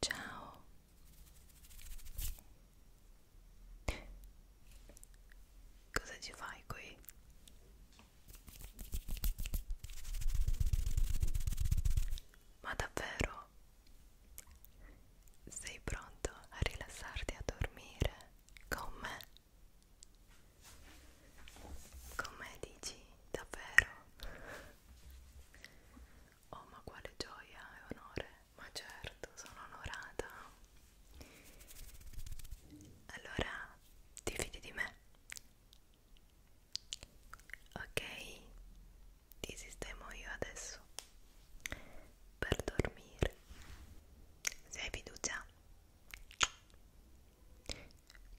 Ciao. Cosa ci fai qui? Ma davvero? prossimo. Sei pronto a rilassarti a dormire con me? Con me dici davvero? Oh ma quale gioia e onore, ma certo sono onorata. Allora ti fidi di me? Ok, ti sistemo io adesso per dormire se hai fiducia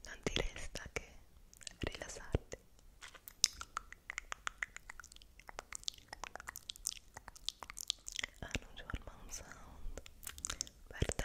non ti resta che rilassarti hanno giù al mount sound per te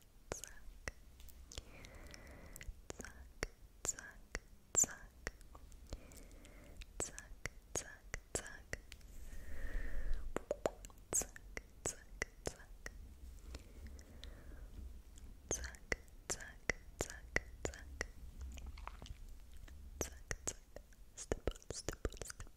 zack, zack, step, step, step,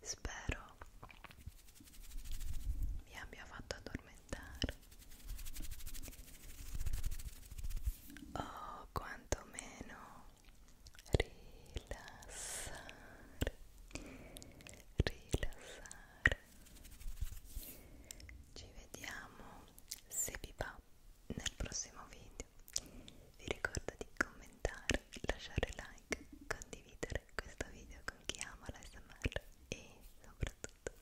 Spero vi abbia fatto addormentare o oh, quantomeno rilassare, rilassare. Ci vediamo se vi va nel prossimo video vi ricordo di commentare, lasciare like, condividere questo video con chi ama l'ASMR e soprattutto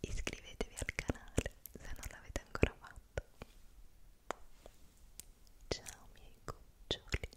iscrivetevi al canale se non l'avete ancora fatto ciao miei cuccioli